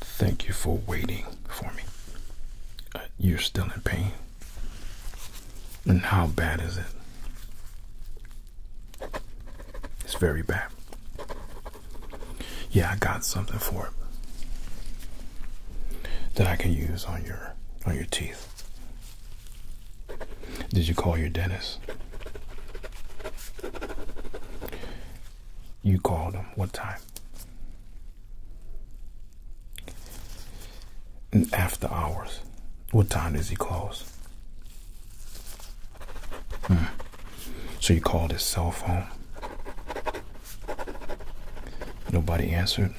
Thank you for waiting for me. Uh, you're still in pain. And how bad is it? It's very bad. Yeah, I got something for it that I can use on your on your teeth. Did you call your dentist? You called him. What time? And after hours. What time does he close? Hmm. So you called his cell phone. Nobody answered.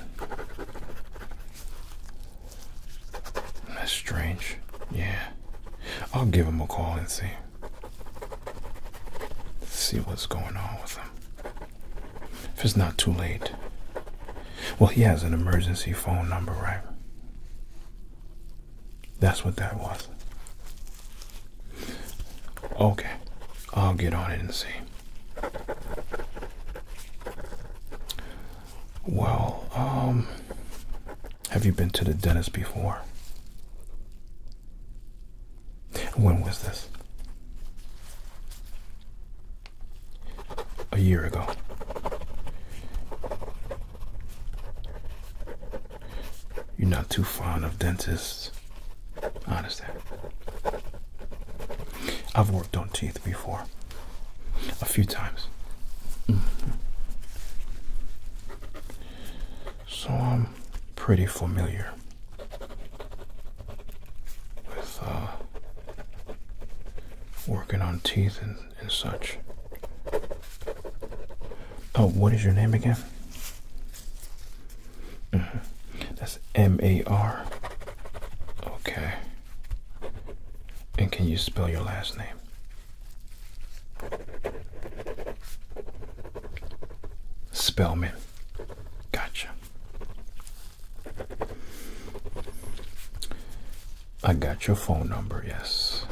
That's strange. Yeah. I'll give him a call and see. See what's going on with him. If it's not too late. Well, he has an emergency phone number, right? That's what that was. Okay. I'll get on it and see. Well, um, have you been to the dentist before? When was this? A year ago. You're not too fond of dentists. I I've worked on teeth before a few times. So I'm pretty familiar with uh, working on teeth and, such. Oh, what is your name again? Mm-hmm. That's M A R. Okay. And can you spell your last name? Spellman. Gotcha. I got your phone number, yes.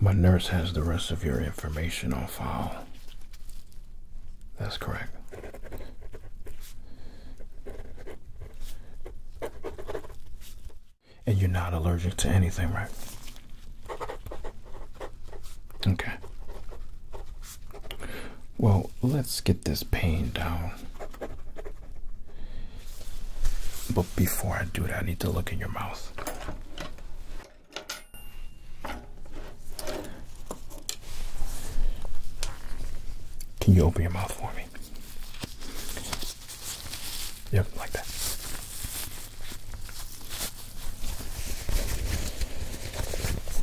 My nurse has the rest of your information on file. That's correct. And you're not allergic to anything, right? Okay. Well, let's get this pain down. But before I do that, I need to look in your mouth. Can you open your mouth for me? Yep, like that.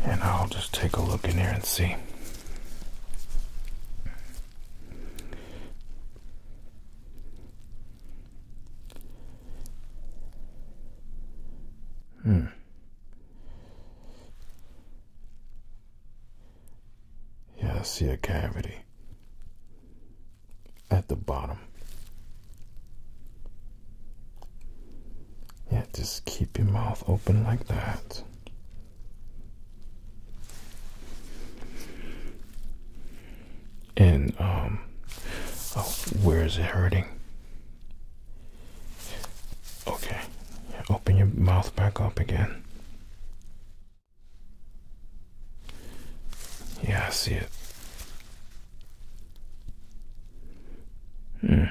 And I'll just take a look in here and see. Hmm. Yeah, I see a cavity at the bottom. Yeah, just keep your mouth open like that. And, um, oh, where is it hurting? Okay. Open your mouth back up again. Yeah, I see it. Hmm.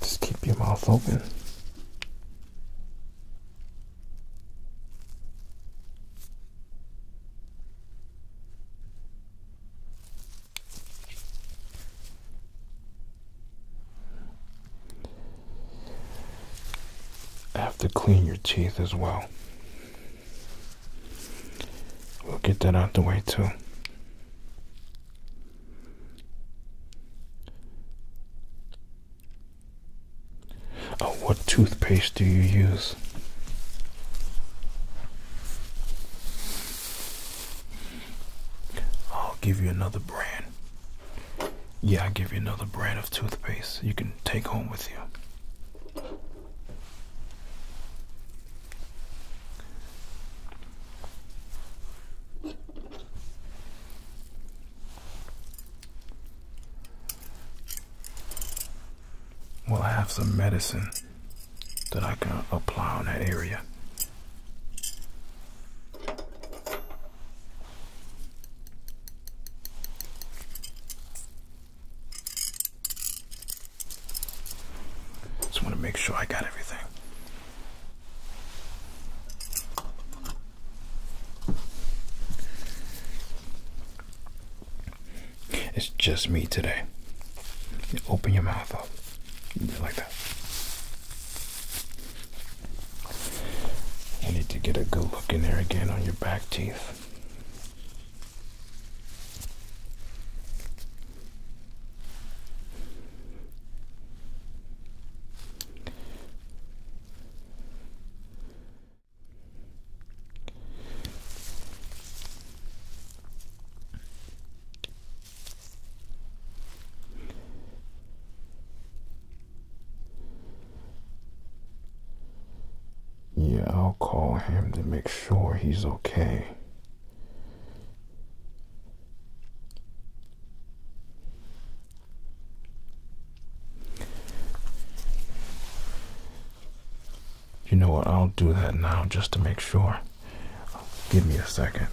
just keep your mouth open have to clean your teeth as well. We'll get that out the way too. Oh, what toothpaste do you use? I'll give you another brand. Yeah, I'll give you another brand of toothpaste you can take home with you. We'll have some medicine that I can apply on that area. Just want to make sure I got everything. It's just me today. open your mouth up. Like that. I need to get a good look in there again on your back teeth. Yeah, I'll call him to make sure he's okay. You know what? I'll do that now just to make sure. Give me a second.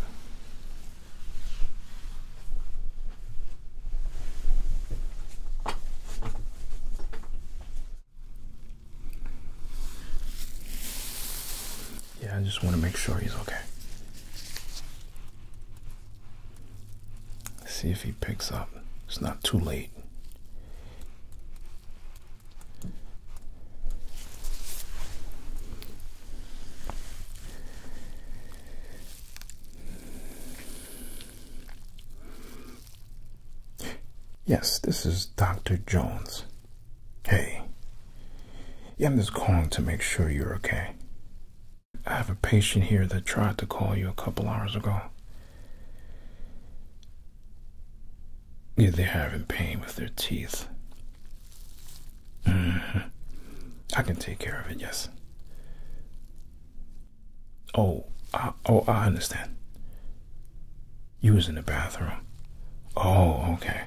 Yeah, I just want to make sure he's okay. See if he picks up. It's not too late. Yes, this is Dr. Jones. Hey. I'm just calling to make sure you're okay. I have a patient here that tried to call you a couple hours ago. Yeah, they're having pain with their teeth. Mm-hmm. I can take care of it, yes. Oh, I, oh, I understand. You was in the bathroom. Oh, okay.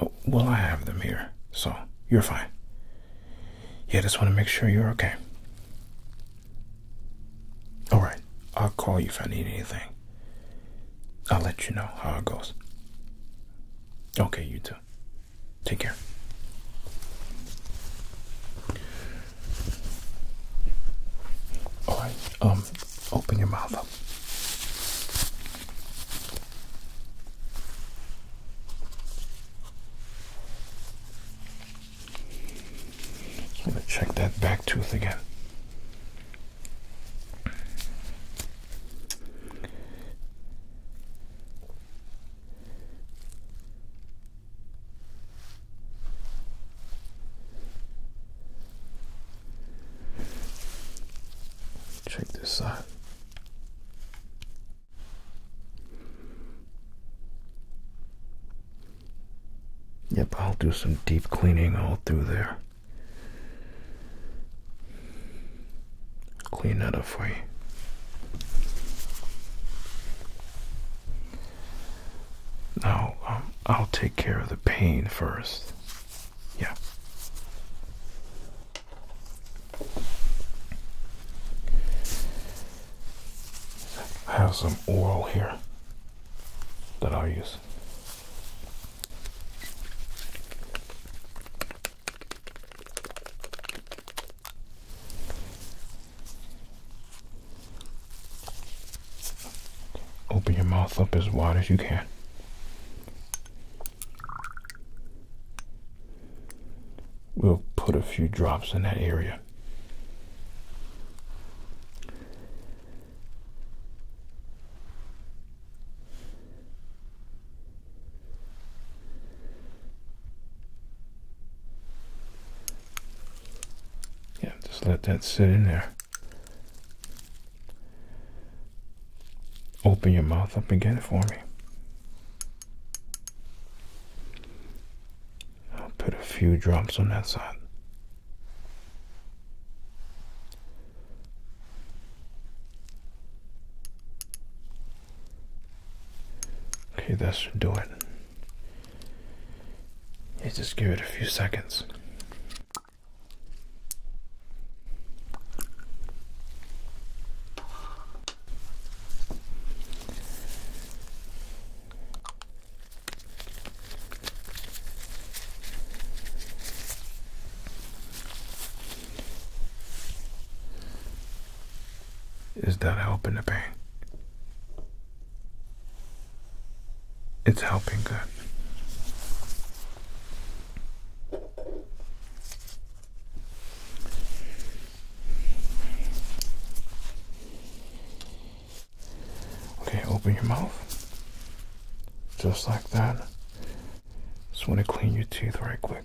Oh, well, I have them here, so you're fine. Yeah, just want to make sure you're okay. Alright, I'll call you if I need anything. I'll let you know how it goes. Okay, you too. Take care. Alright, um, open your mouth just going check that back tooth again. Check this side. Yep, I'll do some deep cleaning all through there. Clean that up for you. Now, um, I'll take care of the pain first. Yeah. have some oil here that I use. Open your mouth up as wide as you can. We'll put a few drops in that area. Yeah, just let that sit in there. Open your mouth up again for me. I'll put a few drops on that side. Okay, that should do it. You just give it a few seconds. Is that helping the pain? It's helping good. Okay, open your mouth. Just like that. Just want to clean your teeth right quick.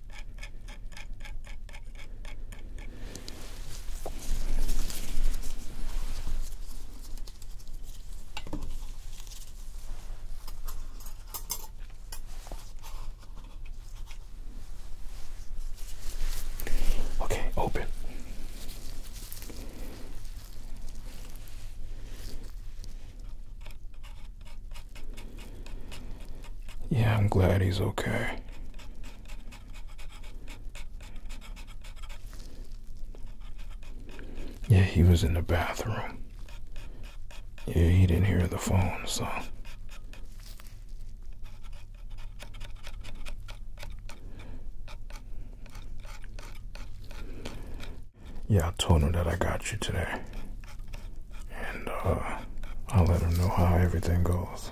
Okay, open. Yeah, I'm glad he's okay. Yeah, he was in the bathroom. Yeah, he didn't hear the phone, so. Yeah, I told him that I got you today. And uh, I'll let him know how everything goes.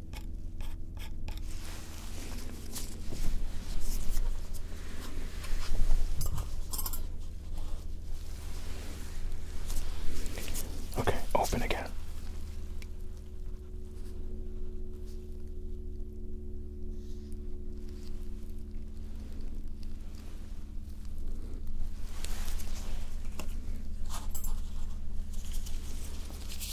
Okay, open again.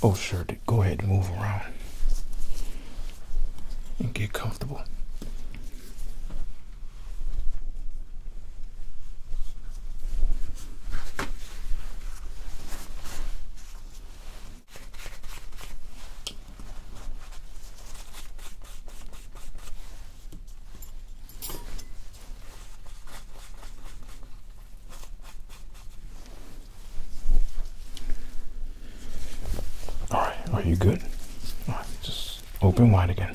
Oh, sure, Go ahead and move around and get comfortable. All right, are you good? just open wide again.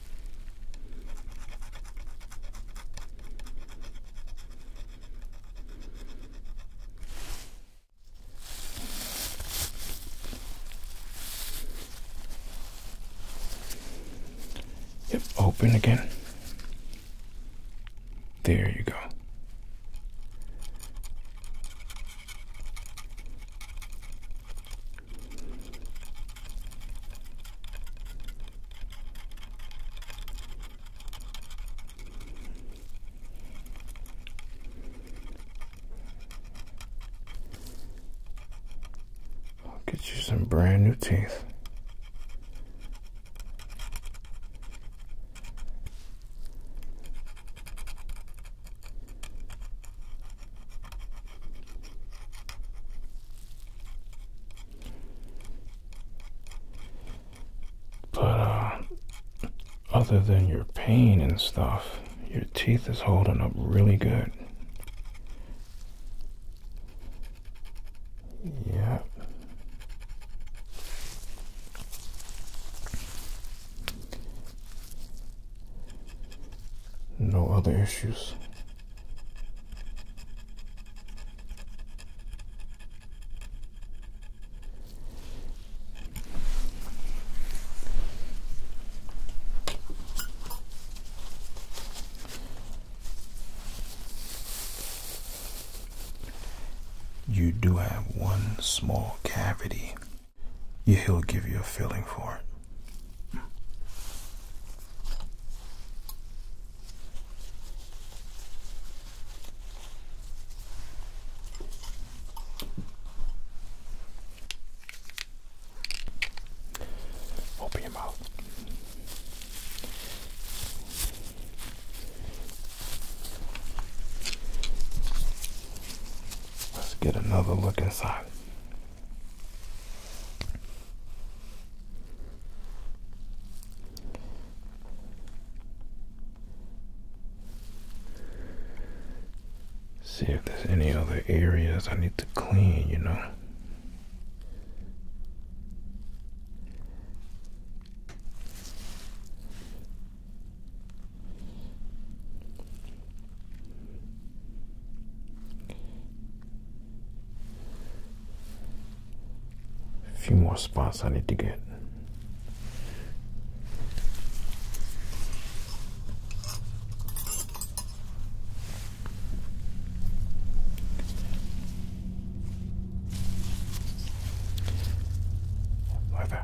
Yep, open again. There you go. I'll get you some brand new teeth. But, uh, other than your pain and stuff, your teeth is holding up really good. Yeah. No other issues. You do have one small cavity. he'll give you a feeling for it. Open your mouth. Let's get another look inside. See if there's any other areas I need to clean, you know. A few more spots I need to get. Over.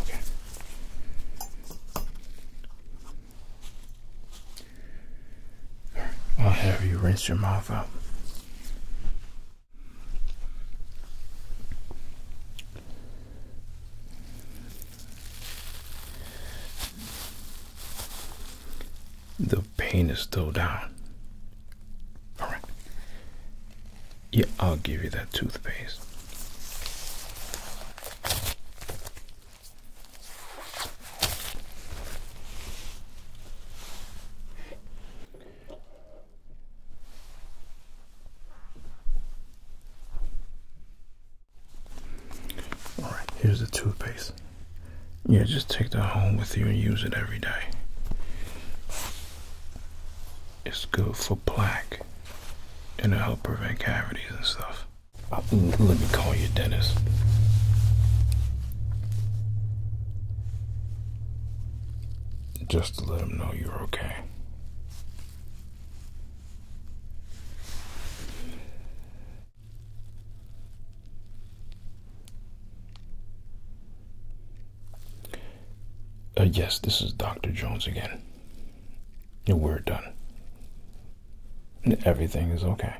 Okay. I'll have you rinse your mouth out. The pain is still down. Alright. Yeah, I'll give you that toothpaste. All right, here's the toothpaste. Yeah, just take that home with you and use it every day. It's good for plaque and it'll help prevent cavities and stuff. Uh, let me call your dentist just to let them know you're okay. Uh, yes, this is Dr. Jones again. We're done. Everything is okay.